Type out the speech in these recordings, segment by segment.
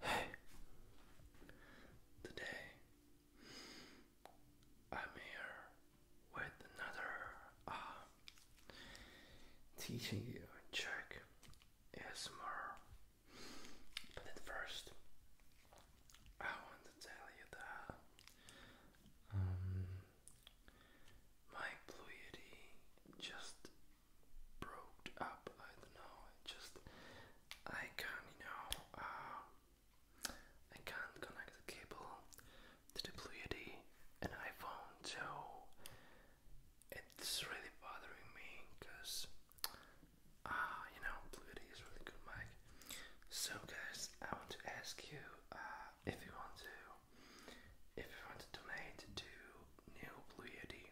Hey, today I'm here with another uh, teaching you Czech ASMR. But at first, I want to tell you that um, Mike Blue just broke up. I don't know. just I can't, you know. Uh, I can't connect the cable to the Bluetooth and iPhone, so it's really bothering me because uh, you know Bluetooth is really good mic. So guys, I want to ask you uh, if you want to if you want to donate to new Blue Yeti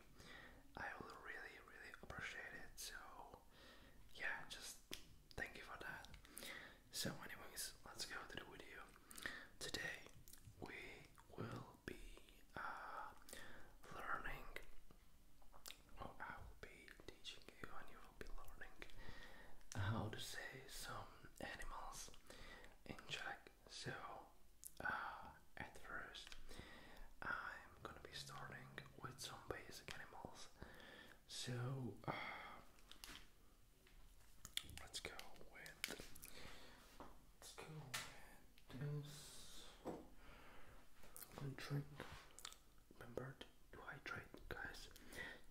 I will really, really appreciate it. So, yeah, just thank you for that. So, anyways, let's go to the video. Today, we will be uh, learning, I will be teaching you, and you will be learning how to say some animals in Czech so, uh, at first, I'm gonna be starting with some basic animals. So, uh, let's go with let's go with this. Remember to hydrate, guys,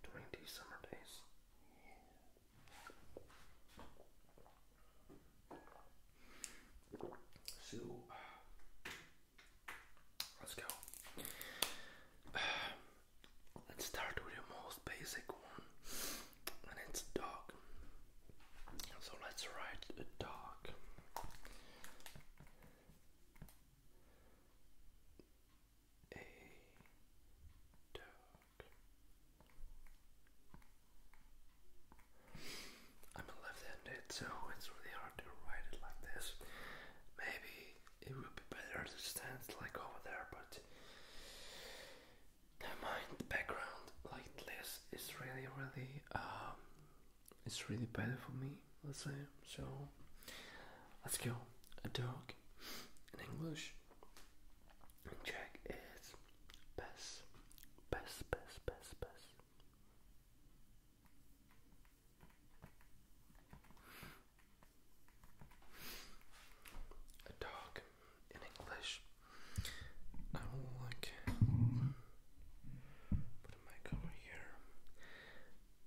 during these summer days. So let's go. let's start with the most basic one, and it's dog. So let's write a dog. A dog. I'm a left-handed, so it's really hard to write it like this. Maybe it would be better to stand like over there, but mind. The background like this is really, really, um, it's really better for me. Let's say so. Let's go. A dog in English. check is Bess, Bess, Bess, Bess, Bess. A dog in English. I will like put a mic over here.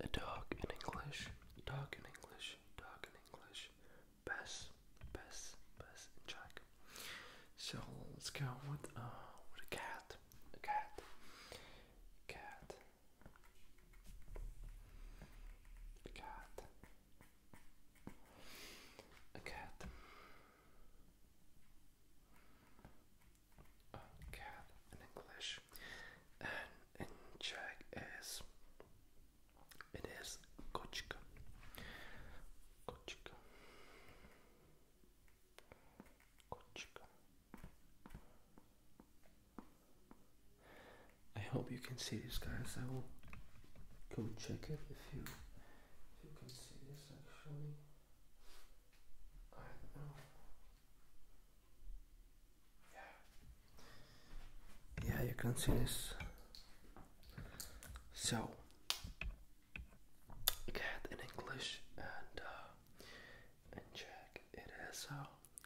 A dog in English. Dog in English. Dog in English bass, bass, bass, and So let's go with uh, with a cat, a cat, cat, cat, a cat, in English, and in Czech is it is kochka. Kochka. Kochka. I hope you can see this, guys. I will go check it if you if you can see this actually. I don't know. Yeah. Yeah, you can see this. So cat in English and uh, in Czech it is uh,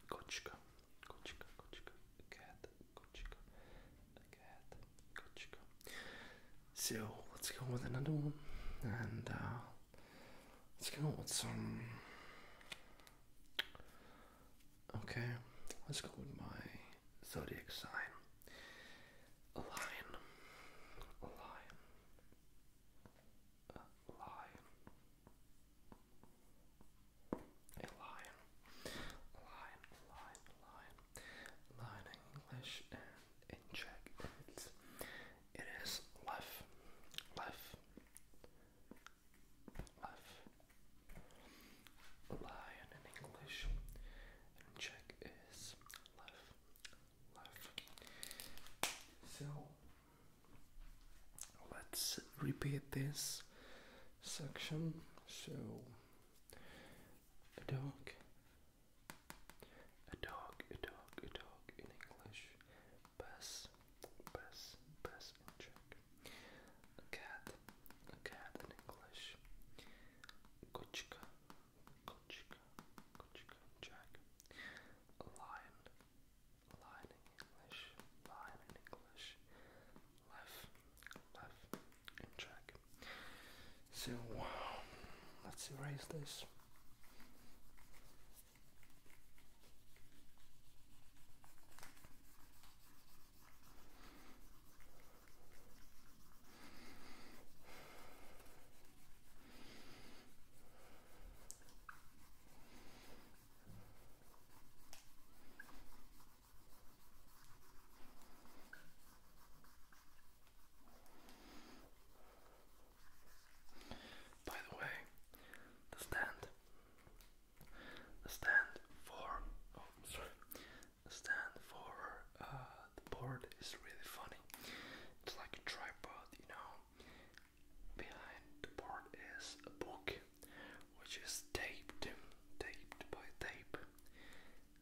kočka, kočka, kočka, cat, kočka, cat, kočka. So let's go with another one and uh, let's go with some. Okay, let's go with my zodiac sign. A lion. A lion. A lion. A lion. A lion. lion. lion. lion English and in Czech it's it is left. Left. Left. Lion in English, and Czech is left, So let's repeat this section. So a dog, a dog, a dog, a dog in English, bus, bus, bus in Czech. A cat, cat in English, Kuchka, Kuchka, Kuchka, Jack, lion, lion in English, lion in English, life, life, and Jack. So, let's erase this. By the way, the stand, the stand for, oh, stand for uh, the board is really funny. It's like a tripod, you know. Behind the board is a book which is taped, taped by tape,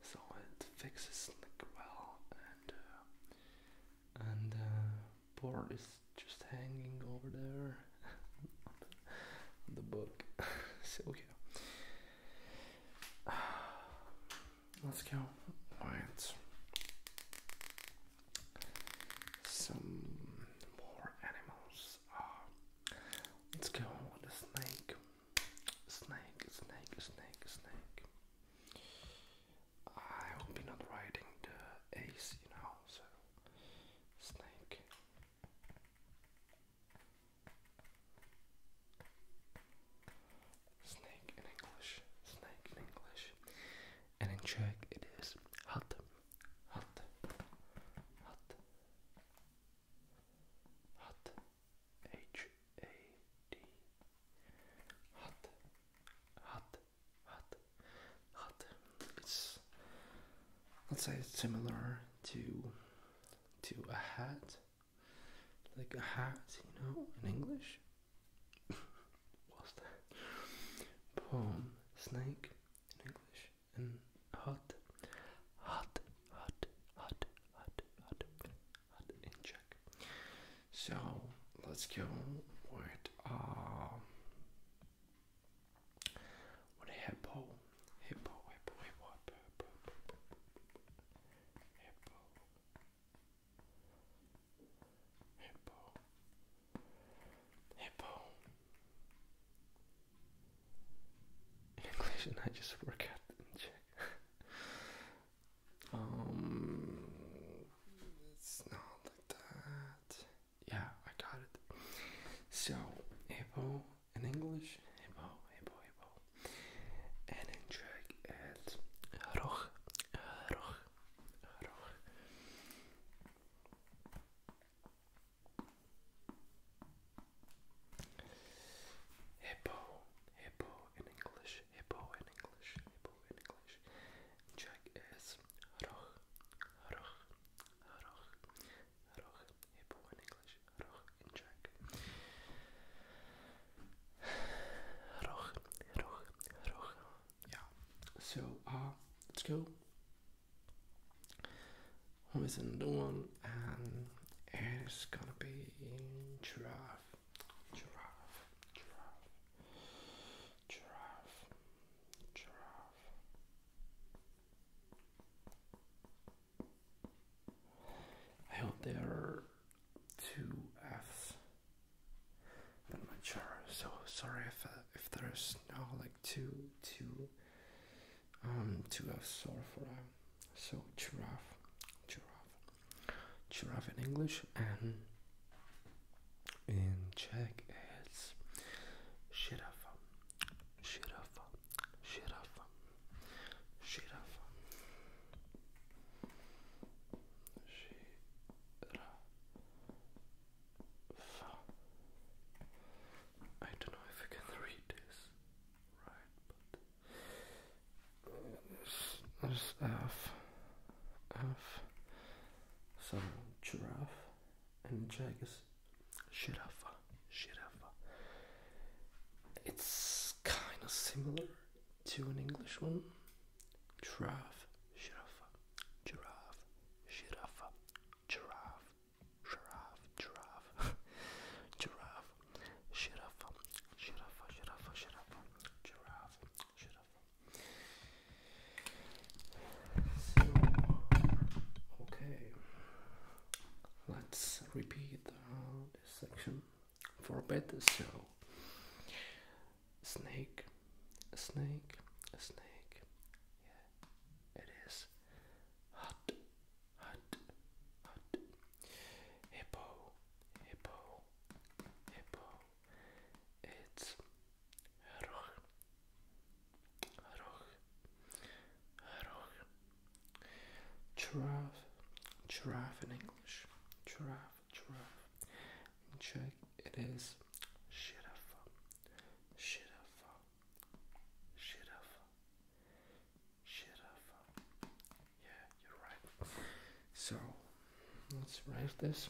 so it fixes well, and uh, and uh, board is just hanging over there the book. so, okay. Let's go. Alright. Some more animals. Ah. let's go with the snake. Snake, snake, snake, snake. I will be not riding the ace, you know, so snake. Snake in English, snake in English, and in Czech it is hot, hot, hot, hot, H A D, hot, hot, hot, hot let's say it's similar to to a hat, like a hat, you know, in English. What's that? Palm, snake in English, and hot, hot, hot, hot, hot, hot, hot in Czech. So let's go with uh, what a hippo. Hippo, hippo, hippo, hippo, hippo, hippo, hippo, English I just forgot um, it's not that yeah, I got it. So, hippo in English, hippo, hippo, hippo. And in Czech, it's roch, roch, roch. Hippo, hippo in English, hippo in English, hippo in English. Czech is roch, roch, roch roch, hippo in English, roch in Czech. Roch, roch, roch. Yeah. So, uh, let's go. Home is another one, and it's gonna be giraffe, giraffe, giraffe, giraffe, giraffe. I hope there are two F's, but I'm not sure. So sorry if uh, if there's no like two two um two F's Sorry for a uh, so giraffe giraffe giraffe in English and in Czech it's giraffe Shiraf, Shiraf, Shiraf, Shiraf. I don't know if I can read this right, but there's F, F, some giraffe, and Jack Shirafa, Shirafa. It's kind of similar to an English one. Giraffe, Shirafa, Giraffe, Shirafa, Giraffe, Giraffe, Giraffe, Giraffe, Shirafa, Shirafa, Shirafa, Shirafa, Giraffe, so, uh, okay, let's repeat uh, this section for a bit. So, snake, a snake, a snake. Yeah, it is hot, hot, hot. Hippo, hippo, hippo. It's Roh. Roh. Roh. Giraffe. Giraffe in English. Giraffe. Giraffe. In Czech it is Giraffe. Giraffe. Giraffe. Giraffe. Yeah, you're right. So let's write this.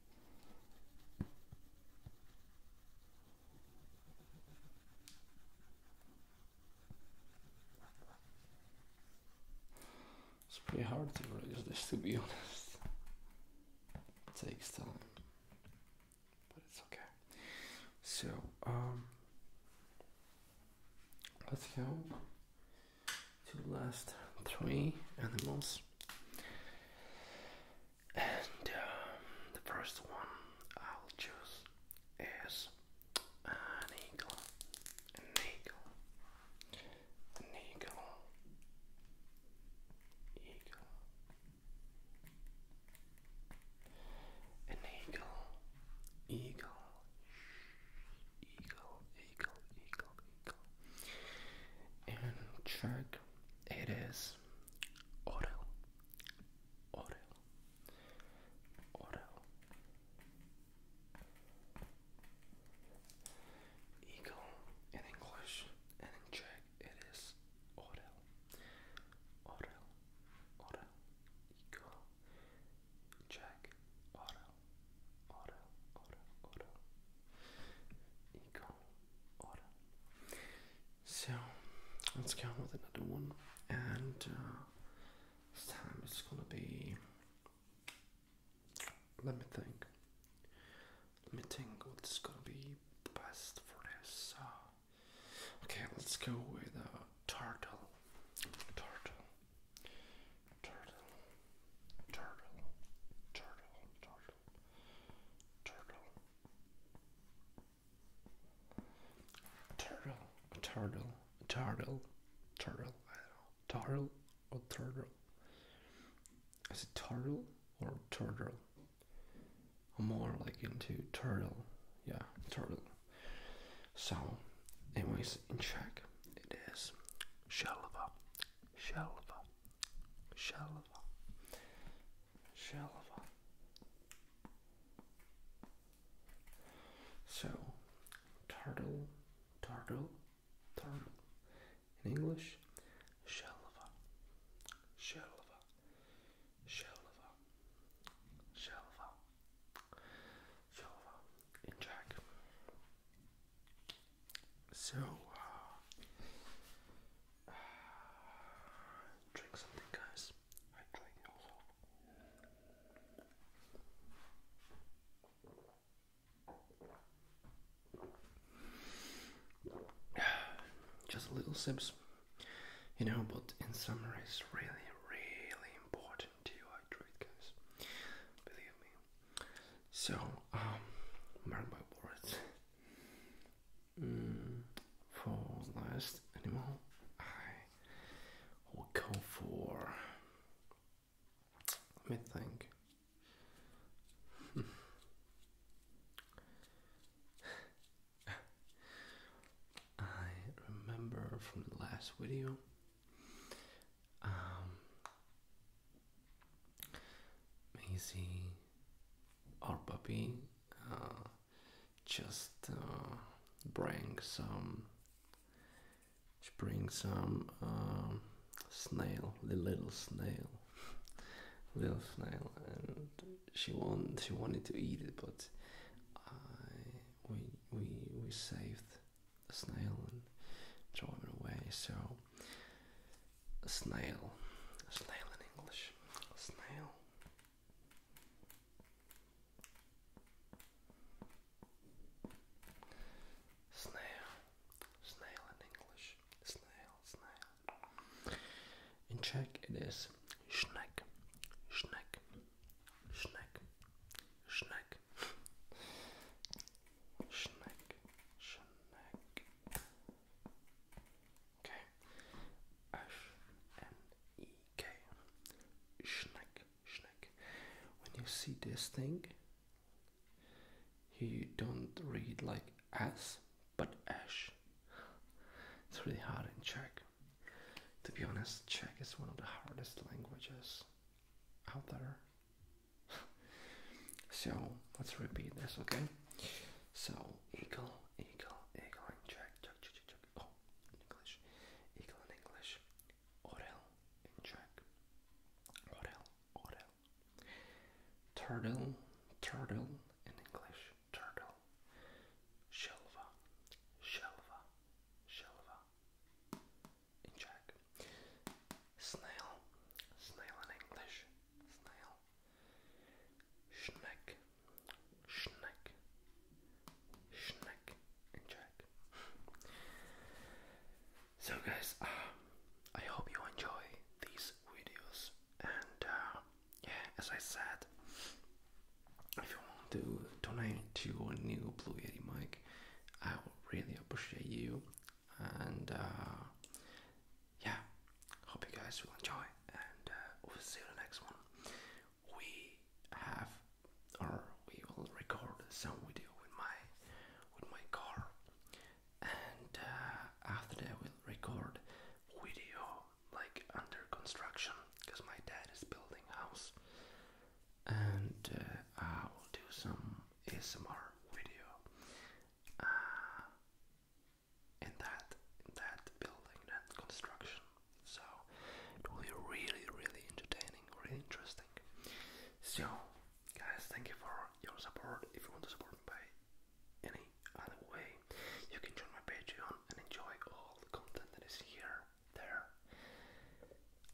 It's pretty hard to produce this to be honest. It takes time. But it's okay. So, um let's go to last three animals. And um, the first one I'll choose is an eagle, an eagle, an eagle, eagle, an eagle, eagle, eagle, eagle, eagle, in Czech, it is orel, orel, orel. Eagle in English, and in it is orel, orel, orel. Eagle, Czech, orel, orel, orel, orel. Eagle. So let's go with another one, and uh, this time it's gonna be. Let me think. Let me think what's gonna be the best for this. okay, let's go with a uh, turtle. Turtle. Turtle. Turtle. Turtle. Turtle turtle, turtle, turtle, turtle, turtle. turtle or turtle. Is it turtle or turtle? I'm more like into turtle. Yeah, turtle. So, anyways, in check it is shelva, shelva, Shalva. Shalva. So, turtle, turtle, turtle. In English, shalva, shalva, shalva, shalva, In Czech, so, uh, uh, drink something, guys. I drink also. Just little sips, you know, but in summer it's really, really important to hydrate, guys. Believe me. So, um, mark my words. Mm, for last animal, I will go for. Let me think. Hmm. I remember from the last video um, our oh, puppy, uh, uh, just bring some. She brings some snail, the little snail, little snail, and she want she wanted to eat it, but we we we saved the snail and throw it away. So, a snail, a snail in English, a snail. Snail, snail in English, snail, snail. In Czech it is schneck, schneck, schneck, schneck, Schneck. Schneck. Okay. S-N-E-K. Schneck. Schneck. When you see this thing, you don't read like S, but ash. It's really hard in Czech. To be honest, Czech is one of the hardest languages out there. So let's repeat this, okay? So eagle, eagle, eagle, and check, check, check, check, Oh, English, eagle in English, orel in Czech, orel, orel, turtle, turtle in English, turtle, shelva, shelva, shelva, in Czech. Snail, snail in English, snail. Schneck, schneck, schneck in Czech. So guys, um, I hope you enjoy these videos and uh, yeah, as I said, if you want to donate to a new Blue Yeti mic, I will really appreciate you and uh, yeah hope you guys will enjoy and uh, we'll see you in the next one we have or we will record some video with my with my car and uh, after that we'll record video like under construction because my dad is building house and uh, I will do some ASMR video uh, in that that building, that construction. So it will be really, really entertaining, really interesting. So, guys, thank you for your support. If you want to support me by any other way, you can join my Patreon and enjoy all the content that is here, there,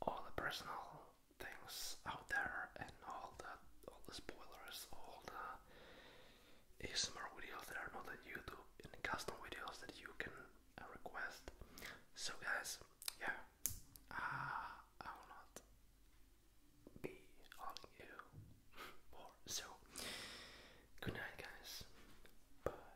all the personal things out there and all the all the spoilers, all the ASMR videos that are not on YouTube and custom videos that you can uh, request. So guys, yeah, uh, I will not be on you more. So good night, guys. Bye.